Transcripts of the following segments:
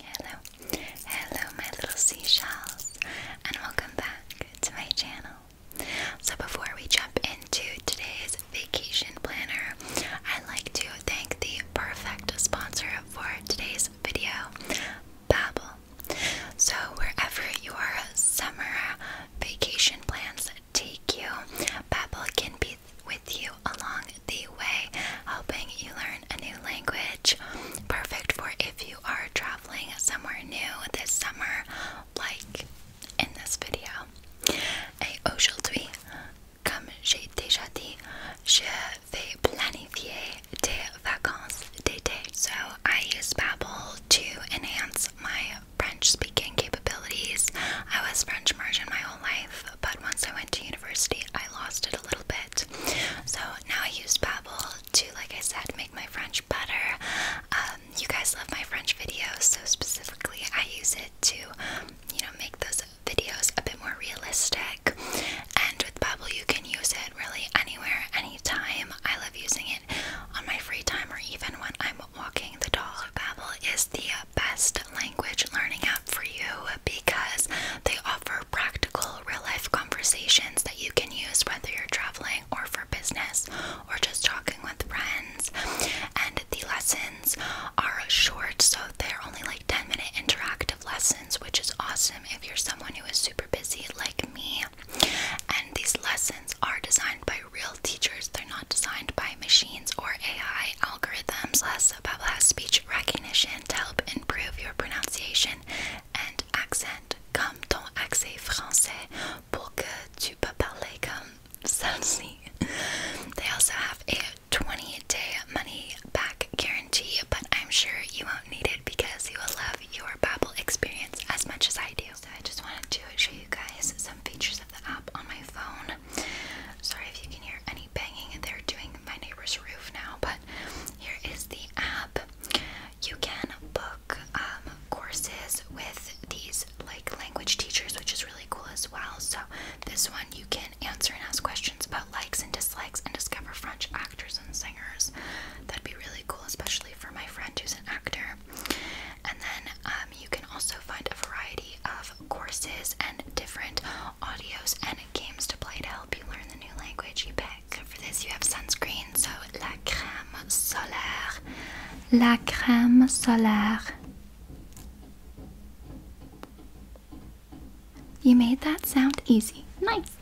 Hello, hello my little seashells and welcome back to my channel. So before we jump into today's vacation planner, I'd like to thank the perfect sponsor for today's video, Babbel. So wherever your summer vacation plans take you, Babbel can be with you along the way, helping you learn a new language. Perfect for if you are traveling somewhere new this summer, like in this video. Et aujourd'hui, comme j'ai déjà dit, je vais planifier des vacances d'été. So I use Babbel to enhance my French speaking capabilities. I was French immersion my whole life, but once I went to university, I lost it a little bit. So now I use Babbel to, like I said, make my French better. Um, you guys love my French videos, so specifically I use it to, you know, make those videos a bit more realistic. And with Babbel, you can use it really anywhere, anytime. I love using it on my free time or even when I'm walking the dog. Babbel is the best language learning app for you because they offer practical, real life conversations that you can use whether you're traveling or for business or just talking with friends. And the lessons are short, so they're only like 10 minute interactive lessons, which is awesome if you're someone who is super busy like me. And these lessons are designed by real teachers, they're not designed by machines or AI algorithms also has speech recognition to help improve your pronunciation and accent, comme ton accent français, pour que tu peux comme celle-ci. They also have a 20-day money-back guarantee, but I'm sure you won't need it because you will love your Babbel experience as much as I do. So I just wanted to show you guys some features of the app on my phone. Sorry if you can hear any Banging, and they're doing my neighbor's roof now but here is the app you can book um, courses with these like language teachers which is really cool as well so this one you can answer and ask questions about likes and dislikes and discover french actors and singers that'd be really cool especially for my friend who's an actor and then um, you can also find a variety of courses and different audios and games to play to help you learn the new language you pick. For this, you have sunscreen, so la crème solaire. La crème solaire. You made that sound easy. Nice!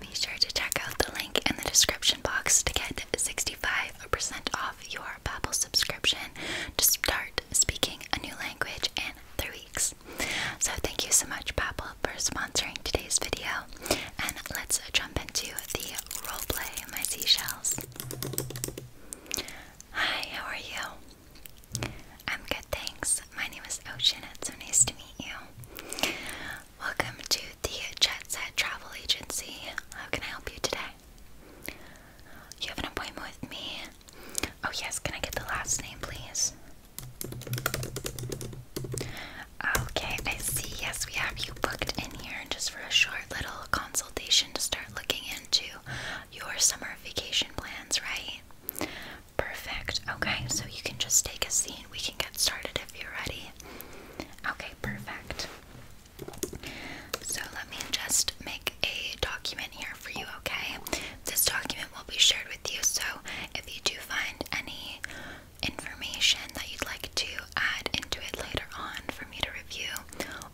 Be sure to check out the link in the description box to get 65% off your Babbel subscription to start speaking a new language in three weeks. So thank you so much, Babbel, for sponsoring today's video. And let's jump into the roleplay, my seashells. Hi, how are you? I'm good, thanks. My name is Ocean. It's so nice to meet you. Welcome to the Jet Travel Agency. How can I help you today? You have an appointment with me Oh yes, can I get the last name please? Okay, I see. Yes, we have you booked in here just for a short little consultation to start looking into your summer vacation plans, right? Perfect. Okay, so you can just take a seat. We can get started if you're ready. Okay, perfect. So let me just make a document here for you, okay? This document will be shared with you, so if you do find any information that you'd like to add into it later on for me to review,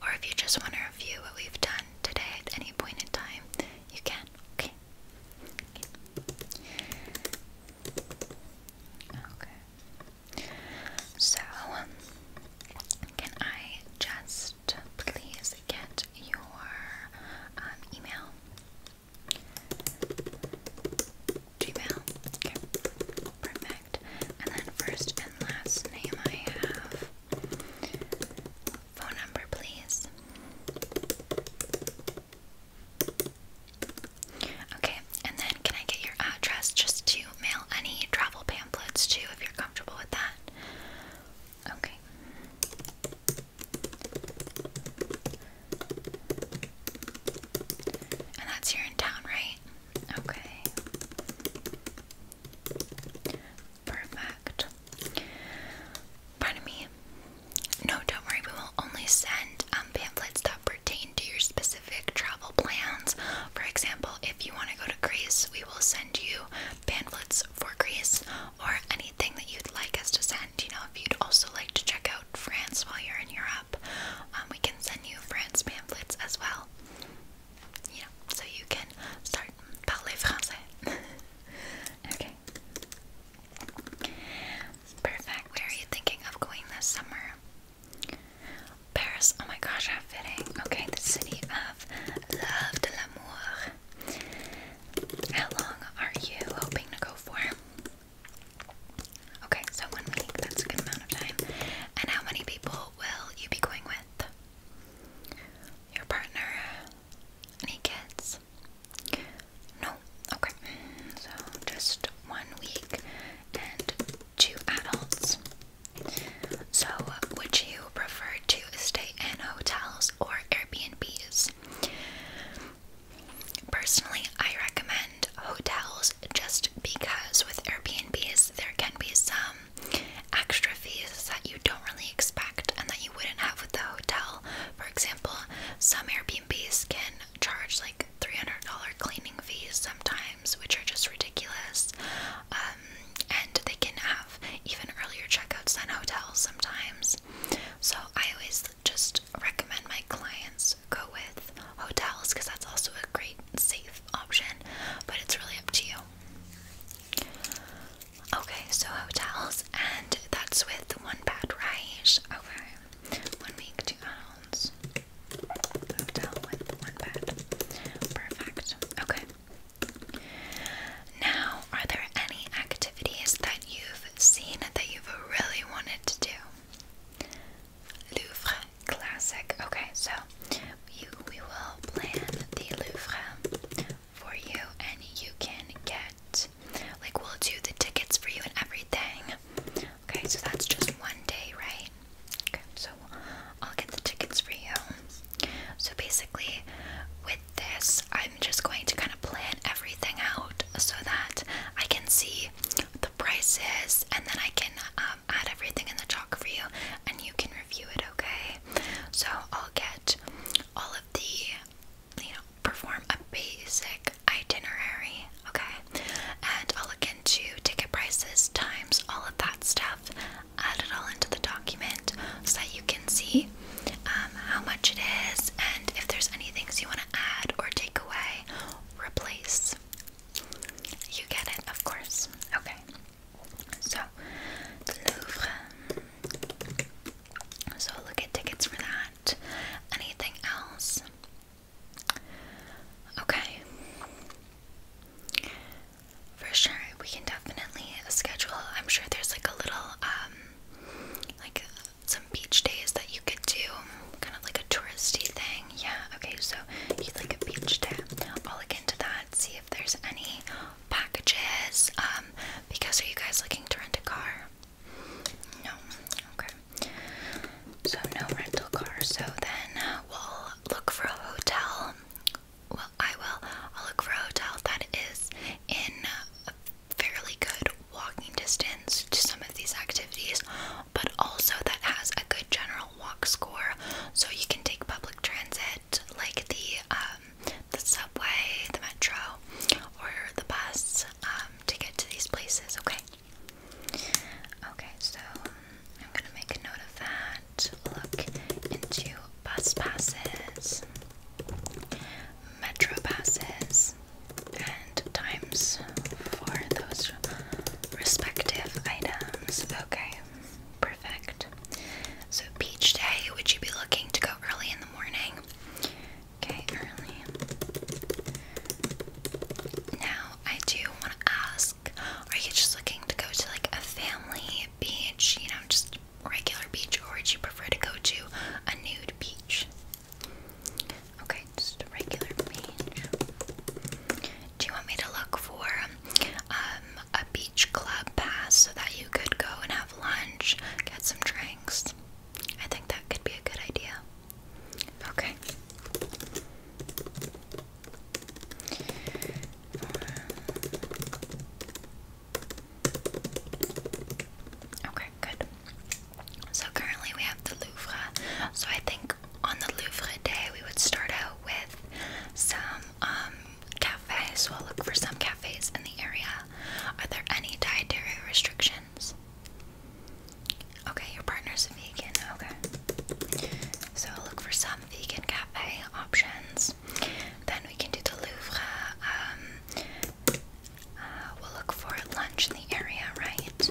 or if you just want to review what we've done today at any point in time, you can. Okay. Okay. So, can I just please get your um, email? Gmail. Okay. Perfect. And then first and last name I have. Phone number, please. Okay, and then can I get your address just to mail any travel pamphlets to if you're comfortable with that? Okay. And that's here in town, right? Okay. Perfect. Pardon me. No, don't worry. We will only send um, pamphlets that pertain to your specific travel plans. For example, if you want to go to Greece, we will send you pamphlets for Greece or anything that you'd like us to send. You know, if you'd also like to check out France while you're in Europe, um, we can send you France pamphlets as well. You so you can start parler français. okay. Perfect. Where are you thinking of going this summer? Paris. Oh my gosh, how fitting. Okay, the city of love, de l'amour, how long are you hoping to go for? Okay, so one week, that's a good amount of time. And how many people will you be going with? Your partner? Any kids? No? Okay, so just one week and two adults. So, would you prefer to stay in hotels or Airbnbs? Personally, I recommend hotels just because with Airbnbs there can be some extra fees that you don't really expect and that you wouldn't have with the hotel. For example, some Airbnbs can charge like $300 cleaning fees sometimes, which are just ridiculous. Um, and they can have even earlier checkouts than hotels sometimes. So I always just recommend my clients go with hotels because that's also a great safe option, but it's really up to you. Okay, so hotels, and that's with one bed, right? Okay, one week, two adults. Hotel with one bed. Perfect. Okay. Now, are there any activities that you've seen that you've really wanted to do? Louvre Classic. Okay, so we will plan the Louvre for you, and you can get, like, we'll do the tickets for you and everything. Okay, so that's just one day, right? Okay, so I'll get the tickets for you. So basically, with this, I'm just going to kind of plan everything out so that I can see the prices and then I can um, add everything in the chalk for you and you can review it, okay? So I'll get all of the, you know, perform a basic itinerary, okay? And I'll look into ticket prices, times, all of that stuff, add it all into the document so that you can see um, how much it is and if there's any things you want to add or take away, replace. You get it, of course. Okay. So, the Louvre. So, look at tickets for that. Anything else? Okay. For sure, we can definitely schedule. I'm sure there's like a little, um, like some beach days that you could do, kind of like a touristy thing. Yeah, okay, so you'd like a beach day. I'll look into that, see if there's any packages. Um, because are you guys looking to rent a car? No, okay. So no rental car. So then uh, we'll look for a hotel. Well, I will. I'll look for a hotel that is in fairly good walking distance to some of these activities, but also that has a good general walk score. So you can take public transit like the um, the subway, the metro, or the bus um, to get to these places. Okay. Okay, so I'm gonna make a note of that. Look into bus passes, metro passes and times for those respective items. Okay, perfect. So, beach day, would you be looking to go early in the morning? Okay, early. Now, I do want to ask are you just looking to go to like a family beach, you know, just regular beach, or would you prefer to go to a nude beach? Okay, just a regular page. Do you want me to look for um, a beach club pass so that you could go and have lunch, get some drinks? I think that could be a good idea. Okay. Okay, good. So currently we have the Louvre. So I think on the Louvre day we would start out with some um, cafes. So I'll look for some cafes in the area. Are there any dietary restrictions? Okay, your partner's vegan. Okay. So look for some vegan cafe options. Then we can do the Louvre. Um, uh, we'll look for lunch in the area, right?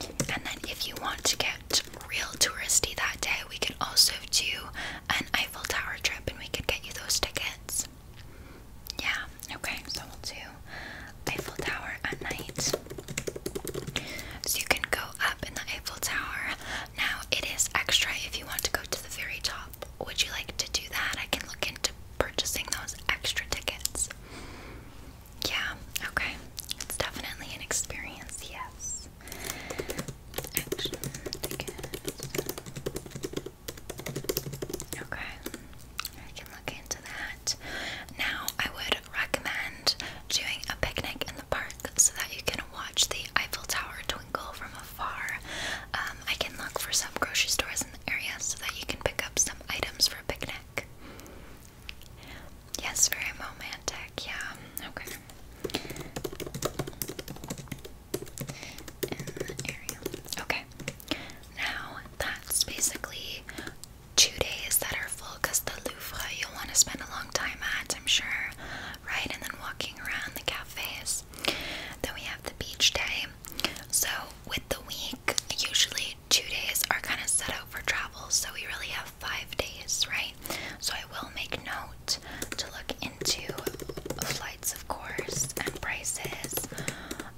And then, if you want to get real touristy that day, we could also do an Eiffel Tower trip and we could get you those tickets. Yeah, okay, so we'll do Eiffel Tower at night. So you can go up in the Eiffel Tower. Now, it is extra if you want to go to the very top. Would you like to do that? I can look into purchasing those extra tickets. Yeah, okay. It's definitely an experience, yes. Action tickets. Okay. I can look into that. Now, I would recommend doing a picnic in the park so that you can watch the Eiffel Tower twinkle from far. Um, I can look for some grocery stores in the area so that you can pick up some items for a picnic. Yes, very romantic, yeah. Okay. Okay. Now, that's basically two days that are full because the Louvre you'll want to spend a long time at, I'm sure. Right? And then walking around the cafes. Then we have the beach day. So, with the week, usually two days are kind of set out for travel, so we really have five days, right? So, I will make note to look into flights, of course, and prices.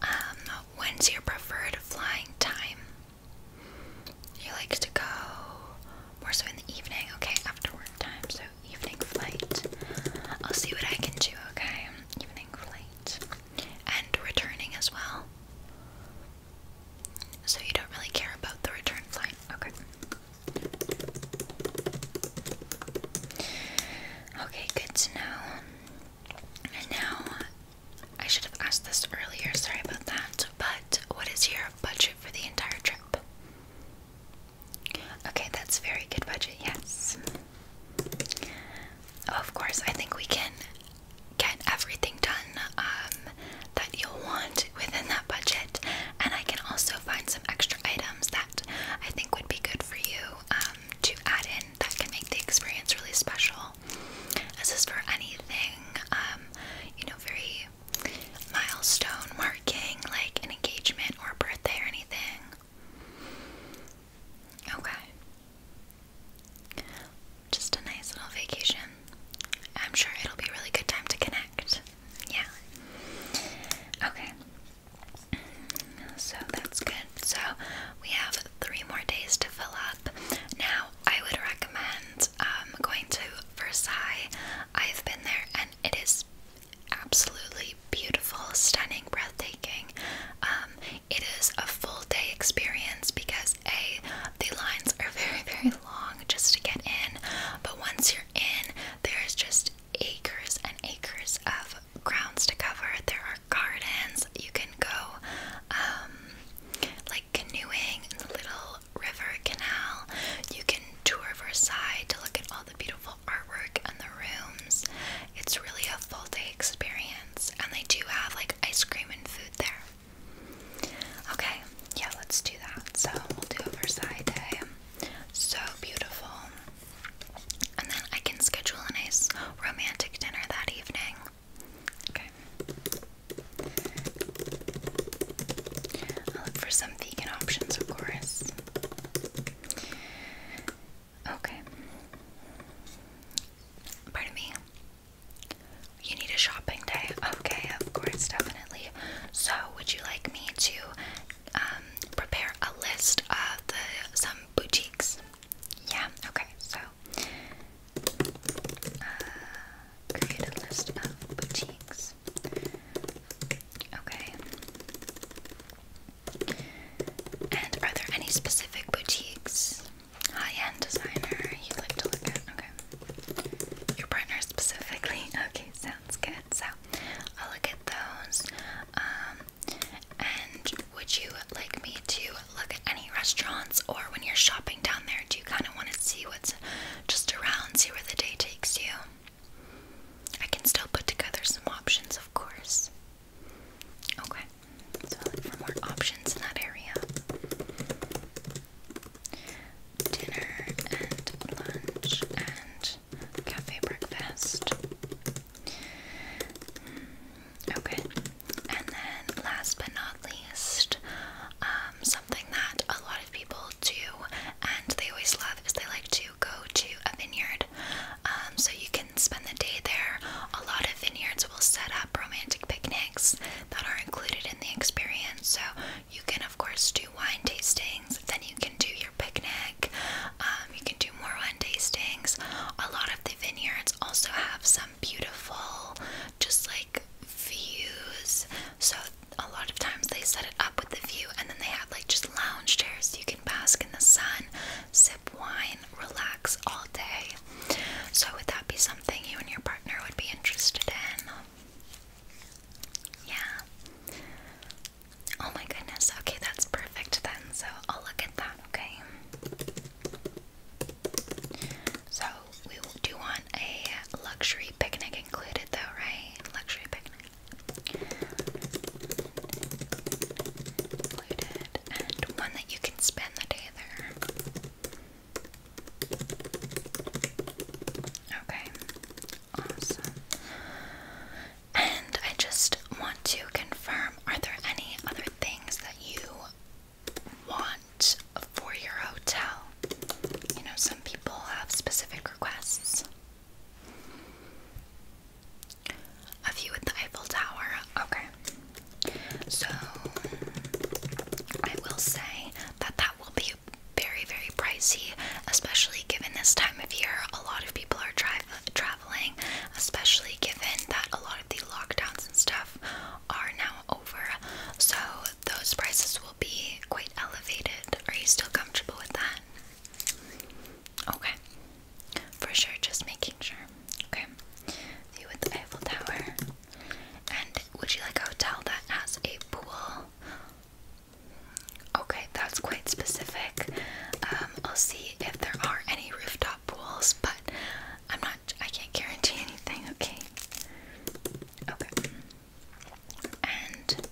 Um, when's your preferred flying time? He likes to go more so in the evening, okay, after work time, so evening flight. I'll see what I can do, okay? Evening flight. And returning as well. So you don't really care about the return flight. Okay. Okay, good to know. And now, I should have asked this earlier, sorry about that, but what is your budget for the entire trip? Okay, that's very good budget, yes. of course, I think we can get everything done um, that you'll want within that budget, and I can also find some extra items that I think would be good for you um, to add in that can make the experience really special. As is for anything, um, you know, very milestone marking like an engagement or birthday or anything. Okay. Just a nice little vacation. I'm sure it'll be really good time to connect. Yeah. Okay. So that's good. So we have three more days to fill up. Now, I would recommend um, going to Versailles. I've been there and it is absolutely beautiful, stunning, breathtaking. Um, it is a full day experience because A, the lines are very, very long just to get in, but once you're in, there's just acres and acres of grounds to cover. There are gardens, you can go um, like canoeing in the little river canal, you can tour Versailles to look at all the beautiful artwork and the rooms. It's really a full day experience, and they do have like ice cream and food there. Okay, yeah, let's do that. So we'll do a Versailles day. So beautiful. And then I can schedule a nice romantic dinner that evening. Okay. I'll look for some vegan options, of course. Okay. Pardon me. You need a shopping day. Okay, of course, definitely. So, would you like me to um, prepare a list of the some boutiques? Yeah. Okay. So, uh, create a list of boutiques. Okay. And are there any specific boutiques? High-end designer you would like to look at? Okay. Your partner specifically? Okay, sounds good. So I'll look at those. Um, and would you like me to look at any restaurants or when you're shopping down there, do you kind of want to see what's just around, see where the day takes you? I can still put together some options, of course. Okay, so for more options in that area. Dinner and lunch and cafe breakfast. Hmm, okay, and then last but not least, um, something that a lot of people do and they always love is they like to go to a vineyard. Um, so you can spend the day there. A lot of vineyards will set up romantic picnics that are included in the experience. So you can, of course, do wine tastings. Then you can do your picnic. Um, you can do more wine tastings. A lot of the vineyards also have some beautiful, just like views. So a lot of times they set it up with the view, and then they have like just lounge chairs so you can bask in the sun sip wine, relax all day. So, would that be something you and your partner would be interested in? Yeah. Oh my goodness. Okay, that's perfect then. So, I'll look at that, okay? So, we do want a luxury picnic included though, right? Luxury picnic included, and one that you can spend the day there. Okay, awesome. And I just want to confirm are there any other things that you want for your hotel? You know, some people have specific requests. A view at the Eiffel Tower. Okay. So I will say that that will be very, very pricey, especially given this time of year. A lot of people are tra traveling, especially given that a lot of the lockdowns and stuff are now over. So those prices will be quite elevated. Are you still comfortable with that? Okay. For sure, just making sure. Okay. you with the Eiffel Tower. And would you like a hotel that has a pool? Okay, that's quite specific. Um, I'll see if there are any rooftop pools, but I'm not I can't guarantee anything, okay? Okay. And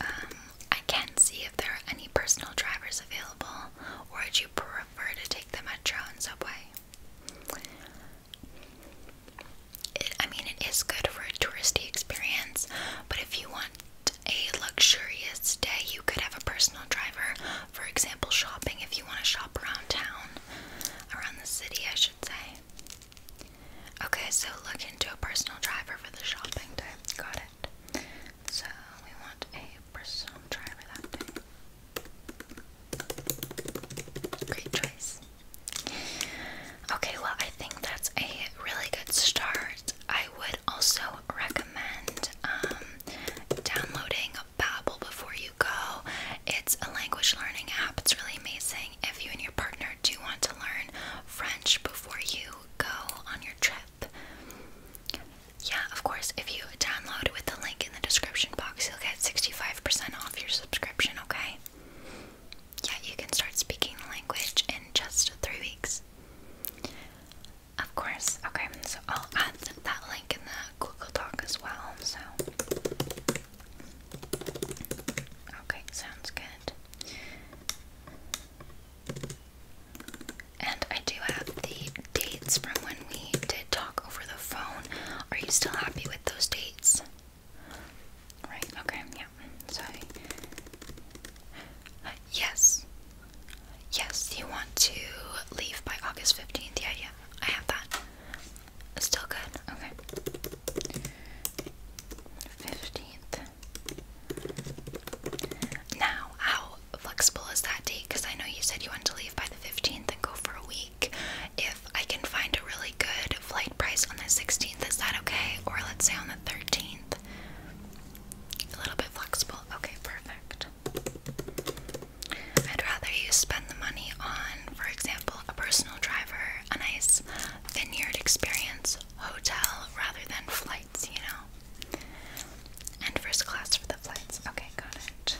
um I can see if there are any personal drivers available, or would you prefer to take the metro and subway? I mean, it is good for a touristy experience, but if you want a luxurious day, you could have a personal driver. For example, shopping if you want to shop around town, around the city, I should say. Okay, so look into a personal driver for the shopping day. Got it. So we want a bristle. I'm Great choice. Okay, well I think that's a really good start. I would also recommend um, downloading Babbel before you go. It's a language learning app. It's really amazing if you and your partner do want to learn French before you go on your trip. Yeah, of course. If you download with the link in the description box, you'll get 65% off your subscription, okay? Yeah, you can start speaking the language in just three weeks. Of course. Okay, so I'll add that link in the Google Doc as well, so. Okay, sounds good. And I do have the dates from when we did talk over the phone. Are you still happy with those dates? Right, okay, yeah. Sorry. Uh, yes. Yes, you want to leave by August 15th. Yeah, yeah, I have that. Still good? Okay. 15th. Now, how flexible as that date? Because I know you said you want to leave by the 15th and go for a week. If I can find a really good flight price on the 16th, is that okay? Or let's say on the 13th? A little bit flexible. Okay, perfect. I'd rather you spend the money on, for example, a personal driver, a nice vineyard experience, hotel, rather than flights, you know? And first class for the flights. Okay, got it.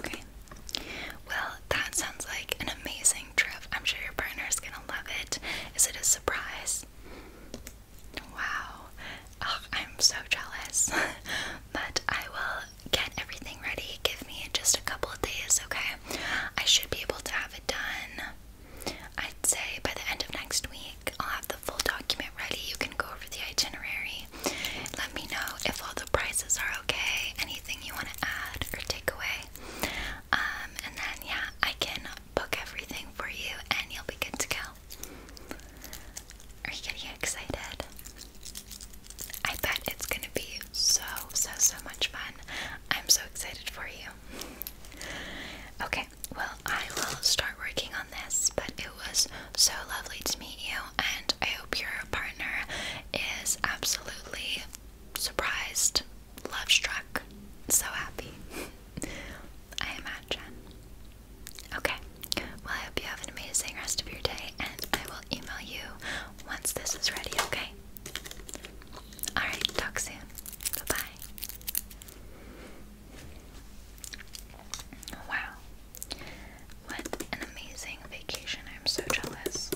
Okay. Well, that sounds like an amazing trip. I'm sure your partner is gonna love it. Is it a surprise? Wow. I'm so jealous. but I will get everything ready. Give me just a couple of days, okay? I should be able to have it done. I'd say by the end of next week, I'll have the full document ready. You can go over the itinerary. Let me know if all the prices are okay, anything you want to add or take away. Um, and then, yeah, I can book everything for you and you'll be good to go. Are you getting excited? I bet it's gonna be so, so, so much fun. I'm so excited for you. Okay, well, I will start working on this, but it was so lovely to meet you, and I hope your partner is absolutely surprised, love struck, so happy. I imagine. Okay, well, I hope you have an amazing rest of your day, and I will email you once this is ready, okay? Alright, talk soon. Bye bye. Wow. What an amazing vacation. I'm so jealous.